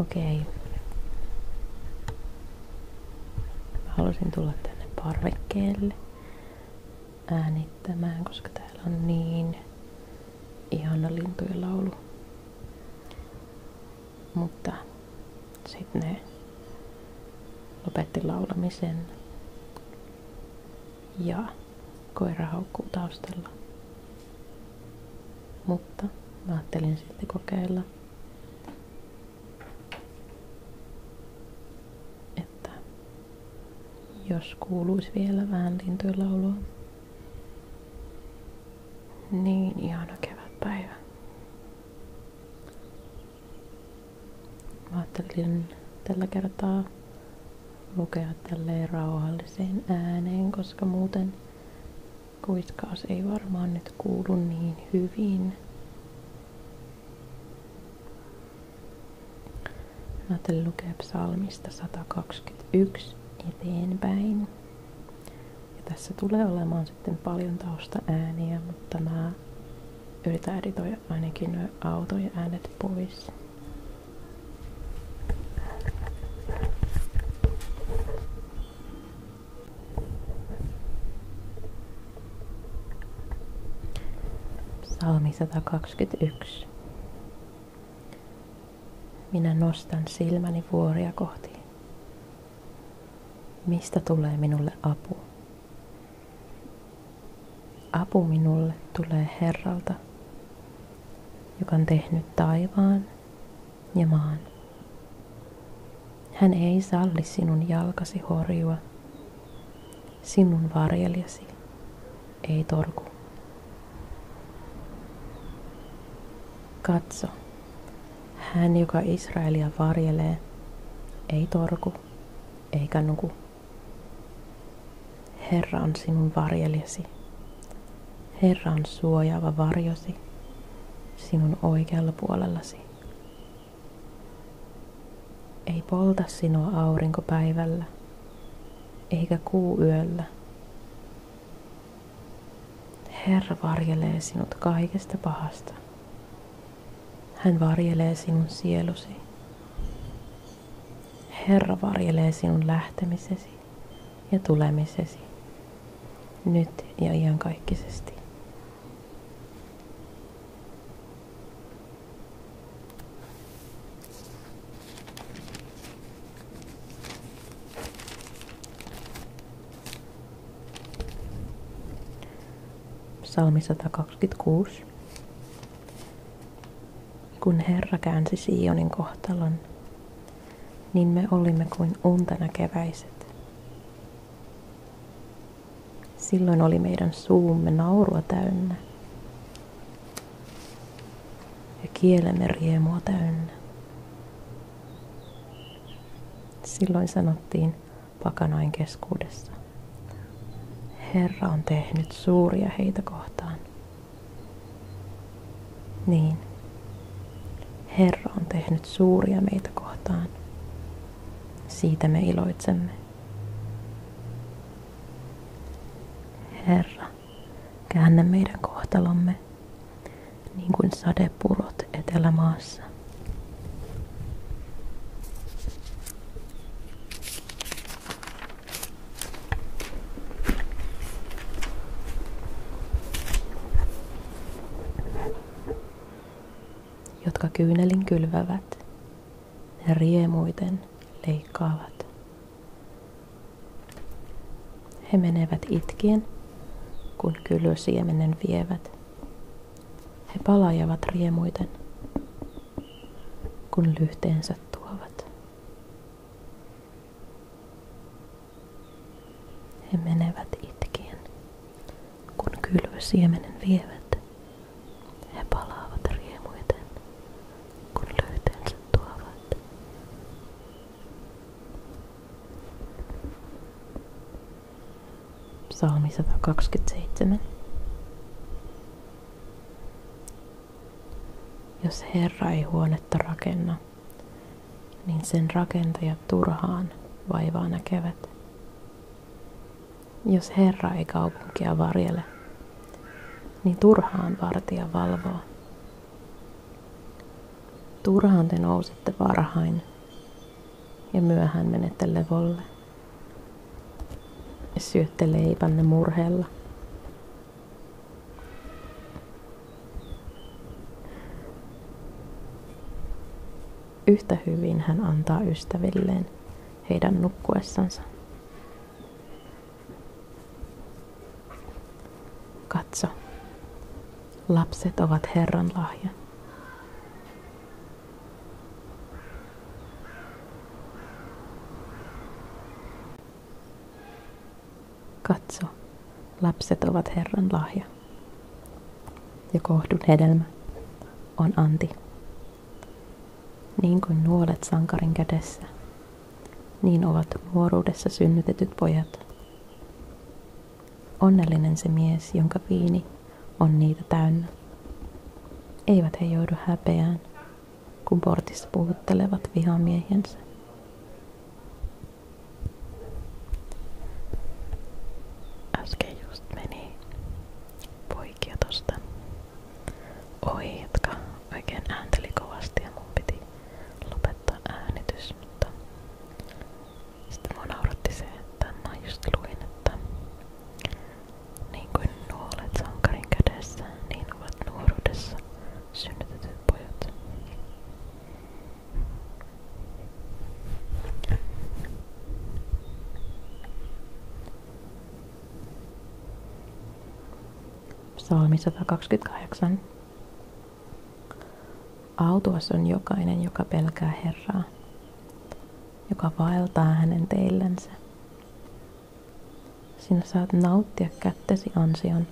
Okei. Mä halusin tulla tänne parvekkeelle äänittämään, koska täällä on niin ihana lintujen laulu. Mutta sitten ne lopetti laulamisen ja koira haukkuu taustalla. Mutta mä ajattelin sitten kokeilla, että jos kuuluisi vielä vähän lintuilaulua, niin ihana kevätpäivä. Mä ajattelin tällä kertaa lukea tälleen rauhalliseen ääneen, koska muuten kuitkaas ei varmaan nyt kuulu niin hyvin. Mä ajattelin lukea psalmista 121 eteenpäin. Ja tässä tulee olemaan sitten paljon ääniä, mutta mä yritän editoida ainakin nuo ja äänet pois. Salmi 121. Minä nostan silmäni vuoria kohti. Mistä tulee minulle apu? Apu minulle tulee Herralta, joka on tehnyt taivaan ja maan. Hän ei salli sinun jalkasi horjua. Sinun varjeljasi ei torku. Katso, hän joka Israelia varjelee, ei torku eikä nuku. Herra on sinun varjeljasi. Herra on suojaava varjosi sinun oikealla puolellasi. Ei polta sinua aurinko päivällä, eikä kuu yöllä. Herra varjelee sinut kaikesta pahasta. Hän varjelee sinun sielusi. Herra varjelee sinun lähtemisesi ja tulemisesi, nyt ja iankaikkisesti. Psalmi 126. Kun Herra käänsi Sionin kohtalon, niin me olimme kuin untana keväiset. Silloin oli meidän suumme naurua täynnä ja kielemme riemua täynnä. Silloin sanottiin pakanain keskuudessa, Herra on tehnyt suuria heitä kohtaan. Niin, Herra on tehnyt suuria meitä kohtaan. Siitä me iloitsemme. Herra, käännä meidän kohtalomme niin kuin sadepurot etelämaassa jotka kyynelin kylvävät, ne riemuiten leikkaavat. He menevät itkien, kun kylösiemenen vievät. He palajavat riemuiten, kun lyhteensä tuovat. He menevät itkien, kun kylvösiemenen vievät. He palaavat riemuiten, kun löyteensä tuovat. Psalmi 127. Jos Herra ei huonetta rakenna, niin sen rakentajat turhaan vaivaa näkevät. Jos Herra ei kaupunkia varjele, niin turhaan vartija valvoo. Turhaan te nousette varhain ja myöhään menette levolle. Ja syötte leipänne murheella. Yhtä hyvin hän antaa ystävilleen heidän nukkuessansa. Katso, lapset ovat Herran lahja. Katso, lapset ovat Herran lahja. Ja kohdun hedelmä on anti. Niin kuin nuolet sankarin kädessä, niin ovat nuoruudessa synnytetyt pojat. Onnellinen se mies, jonka viini on niitä täynnä. Eivät he joudu häpeään, kun portissa puhuttelevat vihamiehensä. Äsken just meni poikia tosta ohi, jotka oikein äänteli kovasti ja mun piti lopettaa äänitys, mutta sitten mua nauratti se, että mä just luin, että niin kuin nuolet sankarin kädessä, niin ovat nuoruudessa synnytetyt pojat. Psalmi 128. Autuas on jokainen, joka pelkää Herraa, joka vaeltaa hänen teillensä. Sinä saat nauttia kättesi ansion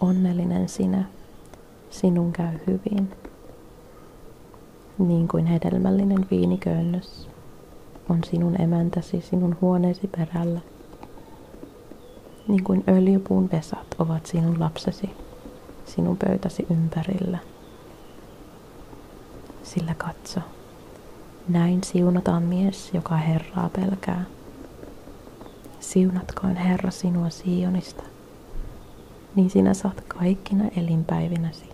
Onnellinen sinä, sinun käy hyvin, niin kuin hedelmällinen viiniköynnös on sinun emäntäsi sinun huoneesi perällä, niin kuin öljypuun vesat ovat sinun lapsesi sinun pöytäsi ympärillä. Sillä katso, näin siunataan mies, joka Herraa pelkää Siunatkoon Herra sinua Sionista, niin sinä saat kaikkina elinpäivinäsi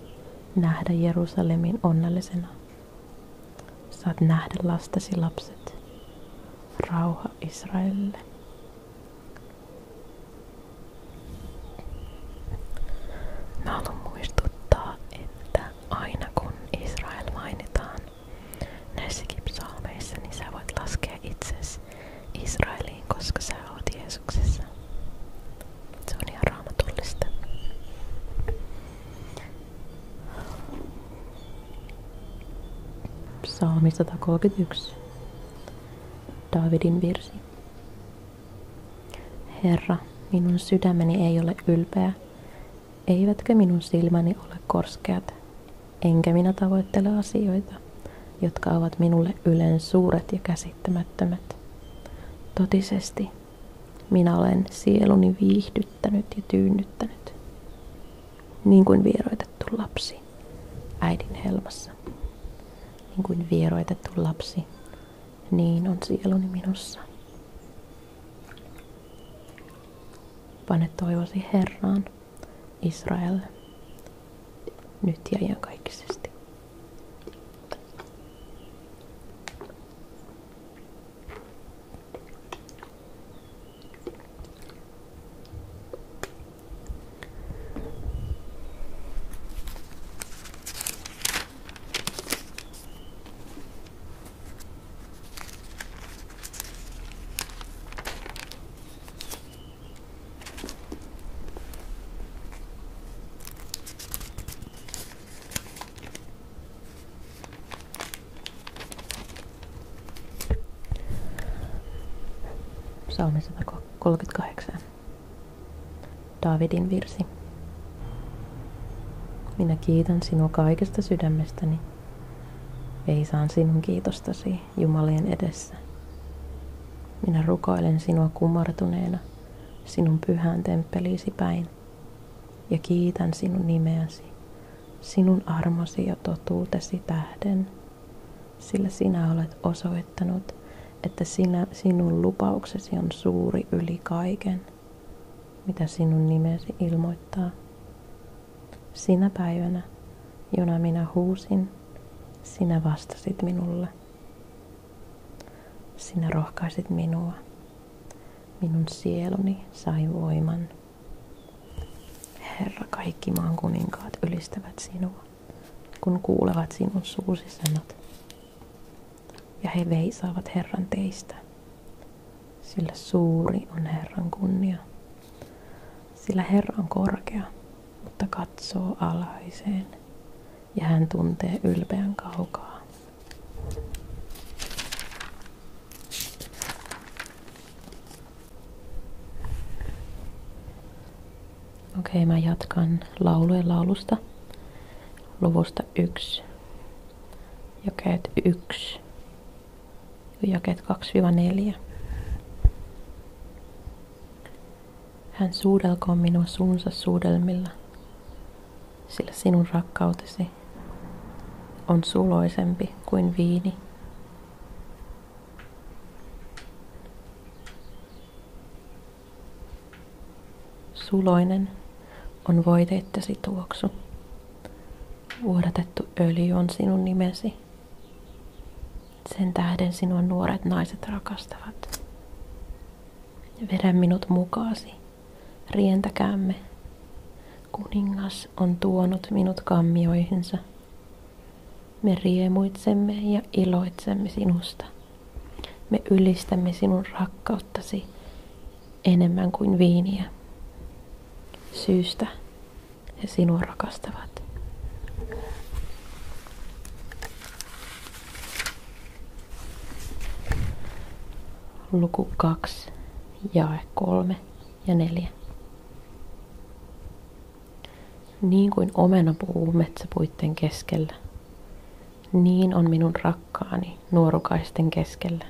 nähdä Jerusalemin onnellisena. Saat nähdä lastesi lapset. Rauha Israelille. Mä haluan muistuttaa, että aina kun Israel mainitaan, Näissäkin psalmeissa niin sä voit laskea itsesi Israeliin, koska sä Se on ihan raamatullista. Psalmi 131. Davidin virsi. Herra, minun sydämeni ei ole ylpeä, eivätkä minun silmäni ole korskeat enkä minä tavoittele asioita, jotka ovat minulle ylen suuret ja käsittämättömät. Totisesti minä olen sieluni viihdyttänyt ja tyynnyttänyt, niin kuin vieroitettu lapsi äidin helmassa. Niin kuin vieroitettu lapsi, niin on sieluni minussa. Pane toivosi Herraan. Israel nyt ja kaikisesti. Psalmi 138. Davidin virsi. Minä kiitän sinua kaikesta sydämestäni. Ei Veisaan sinun kiitostasi. Jumalien edessä. Minä rukoilen sinua kumartuneena sinun pyhään temppeliisi päin ja kiitän sinun nimeäsi, sinun armosi ja totuutesi tähden, sillä sinä olet osoittanut, että sinä, sinun lupauksesi on suuri yli kaiken, mitä sinun nimesi ilmoittaa. Sinä päivänä, jona minä huusin, sinä vastasit minulle. Sinä rohkaisit minua. Minun sieluni sai voiman. Herra, kaikki maan kuninkaat ylistävät sinua, kun kuulevat sinun suusi sanat. Ja he veisaavat Herran teistä, sillä suuri on Herran kunnia. Sillä Herra on korkea, mutta katsoo alhaiseen ja hän tuntee ylpeän kaukaa. Okei, mä jatkan laulujen laulusta luvusta 1, jakeet 1 jakeet 2-4. Hän suudelkoon minua suunsa suudelmilla, sillä sinun rakkautesi on suloisempi kuin viini. Suloinen on voiteittesi tuoksu. Vuodatettu öljy on sinun nimesi. Sen tähden sinua nuoret naiset rakastavat. Vedä minut mukaasi, rientäkäämme. Kuningas on tuonut minut kammioihinsa. Me riemuitsemme ja iloitsemme sinusta. Me ylistämme sinun rakkauttasi enemmän kuin viiniä. Syystä he sinua rakastavat. Luku 2, jae 3 ja 4. Niin kuin omena puhuu metsäpuitten keskellä, niin on minun rakkaani nuorukaisten keskellä.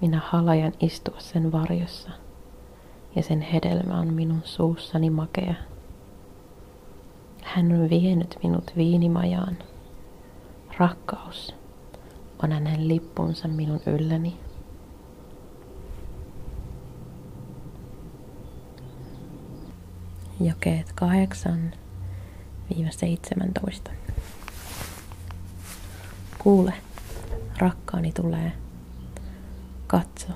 Minä halajan istua sen varjossa ja sen hedelmä on minun suussani makea. Hän on vienyt minut viinimajaan. Rakkaus on hänen lippunsa minun ylläni. Jakeet 8-17. Kuule, Rakkaani tulee. Katso,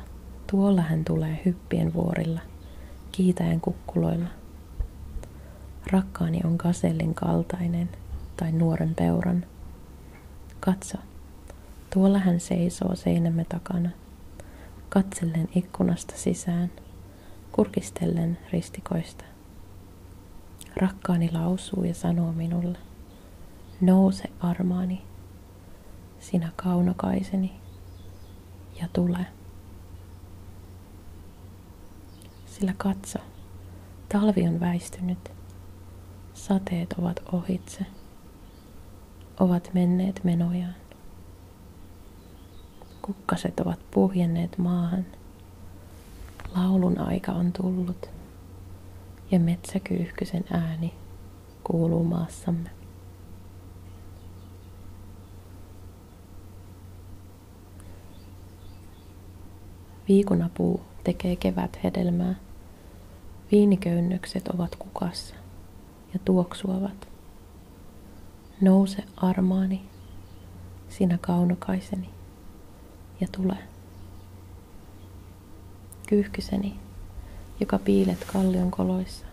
tuolla hän tulee hyppien vuorilla, kiitäen kukkuloilla. Rakkaani on kasellin kaltainen tai nuoren peuran. Katso, tuolla hän seisoo seinämme takana, katsellen ikkunasta sisään, kurkistellen ristikoista. Rakkaani lausuu ja sanoo minulle, Nouse armaani, sinä kaunokaiseni, ja tule. Sillä katso, talvi on väistynyt, sateet ovat ohitse, ovat menneet menojaan. Kukkaset ovat puhjenneet maahan. Laulun aika on tullut ja metsäkyyhkysen ääni kuuluu maassamme. Viikunapuu tekee kevät hedelmää. Viiniköynnökset ovat kukassa ja tuoksuavat. Nouse armaani, sinä kaunokaiseni, ja tule. Kyyhkyseni, joka piilet kallion koloissa,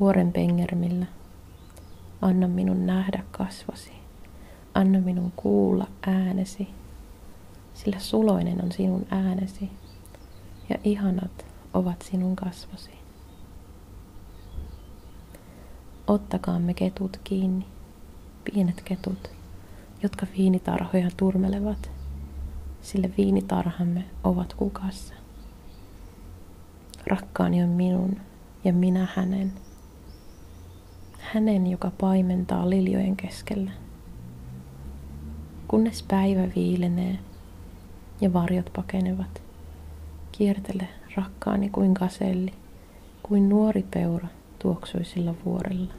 vuoren pengermillä, anna minun nähdä kasvosi, anna minun kuulla äänesi, sillä suloinen on sinun äänesi ja ihanat ovat sinun kasvosi. Ottakaamme ketut kiinni, pienet ketut, jotka viinitarhoja turmelevat, sillä viinitarhamme ovat hukassa. Rakkaani on minun ja minä hänen. Hänen, joka paimentaa liljojen keskellä. Kunnes päivä viilenee ja varjot pakenevat, kiertele rakkaani kuin kaselli, kuin nuori peura tuoksuisilla vuorilla.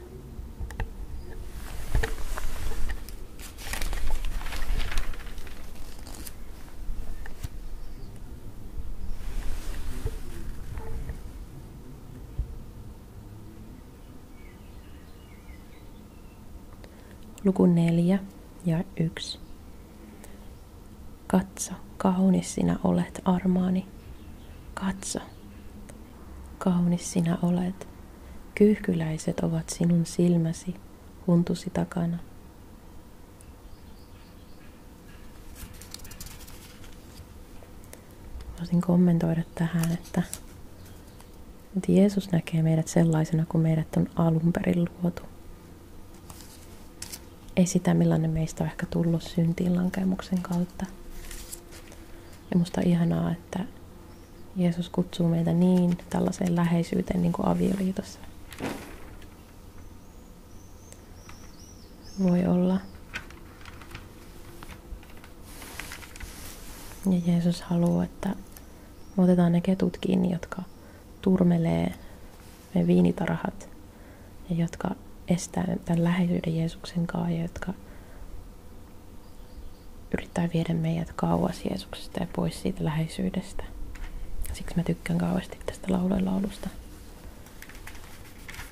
Luku neljä ja yksi. Katso, kaunis sinä olet, armaani. Katso, Kaunis sinä olet. Kyyhkyläiset ovat sinun silmäsi huntusi takana. Voisin kommentoida tähän, että, että Jeesus näkee meidät sellaisena kuin meidät on alun perin luotu. Ei sitä, millainen meistä on ehkä tullut syntiin lankemuksen kautta. Ja musta ihanaa, että Jeesus kutsuu meitä niin tällaiseen läheisyyteen niin kuin avioliitossa. Voi olla. Ja Jeesus haluaa, että me otetaan ne ketut kiinni, jotka turmelee me viinitarhat ja jotka estää tämän läheisyyden Jeesuksen kanssa ja jotka yrittää viedä meidät kauas Jeesuksesta ja pois siitä läheisyydestä. Siksi mä tykkään kauheasti tästä laulujen laulusta.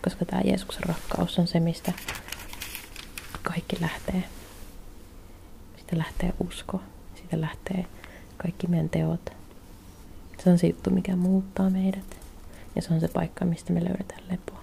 Koska tämä Jeesuksen rakkaus on se, mistä kaikki lähtee. Siitä lähtee usko. Siitä lähtee kaikki meidän teot. Se on se juttu, mikä muuttaa meidät. Ja se on se paikka, mistä me löydetään lepoa.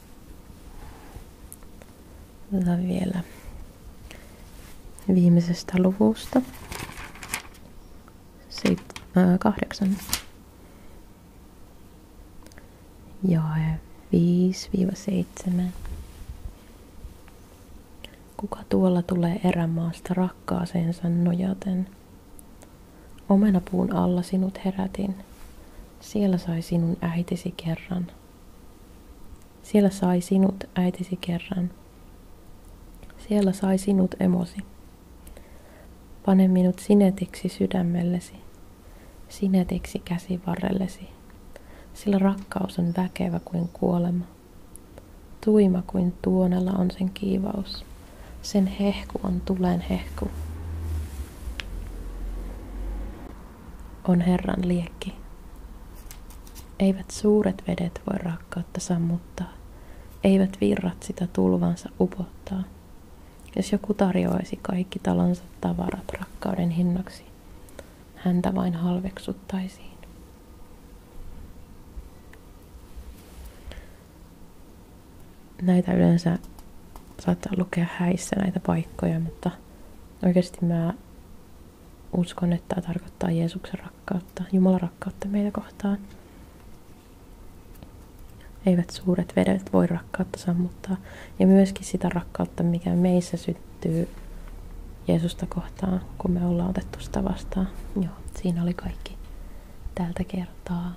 Otetaan vielä viimeisestä luvusta. Seit, äh, kahdeksan. Jae viiva seitsemän Kuka tuolla tulee erämaasta rakkaaseensa nojaten? Omenapuun alla sinut herätin. Siellä sai sinun äitisi kerran. Siellä sai sinut äitisi kerran. Siellä sai sinut emosi. Pane minut sinetiksi sydämellesi, sinetiksi käsi käsivarrellesi, sillä rakkaus on väkevä kuin kuolema. Tuima kuin tuonella on sen kiivaus, sen hehku on tulen hehku on Herran liekki. Eivät suuret vedet voi rakkautta sammuttaa, eivät virrat sitä tulvansa upottaa. Jos joku tarjoaisi kaikki talonsa tavarat rakkauden hinnaksi, häntä vain halveksuttaisiin. Näitä yleensä saattaa lukea häissä näitä paikkoja, mutta Oikeasti mä uskon, että tämä tarkoittaa Jeesuksen rakkautta, Jumalan rakkautta meitä kohtaan. Eivät suuret vedet voi rakkautta sammuttaa. Ja myöskin sitä rakkautta, mikä meissä syttyy Jeesusta kohtaan, kun me ollaan otettu sitä vastaan. Joo, siinä oli kaikki tältä kertaa.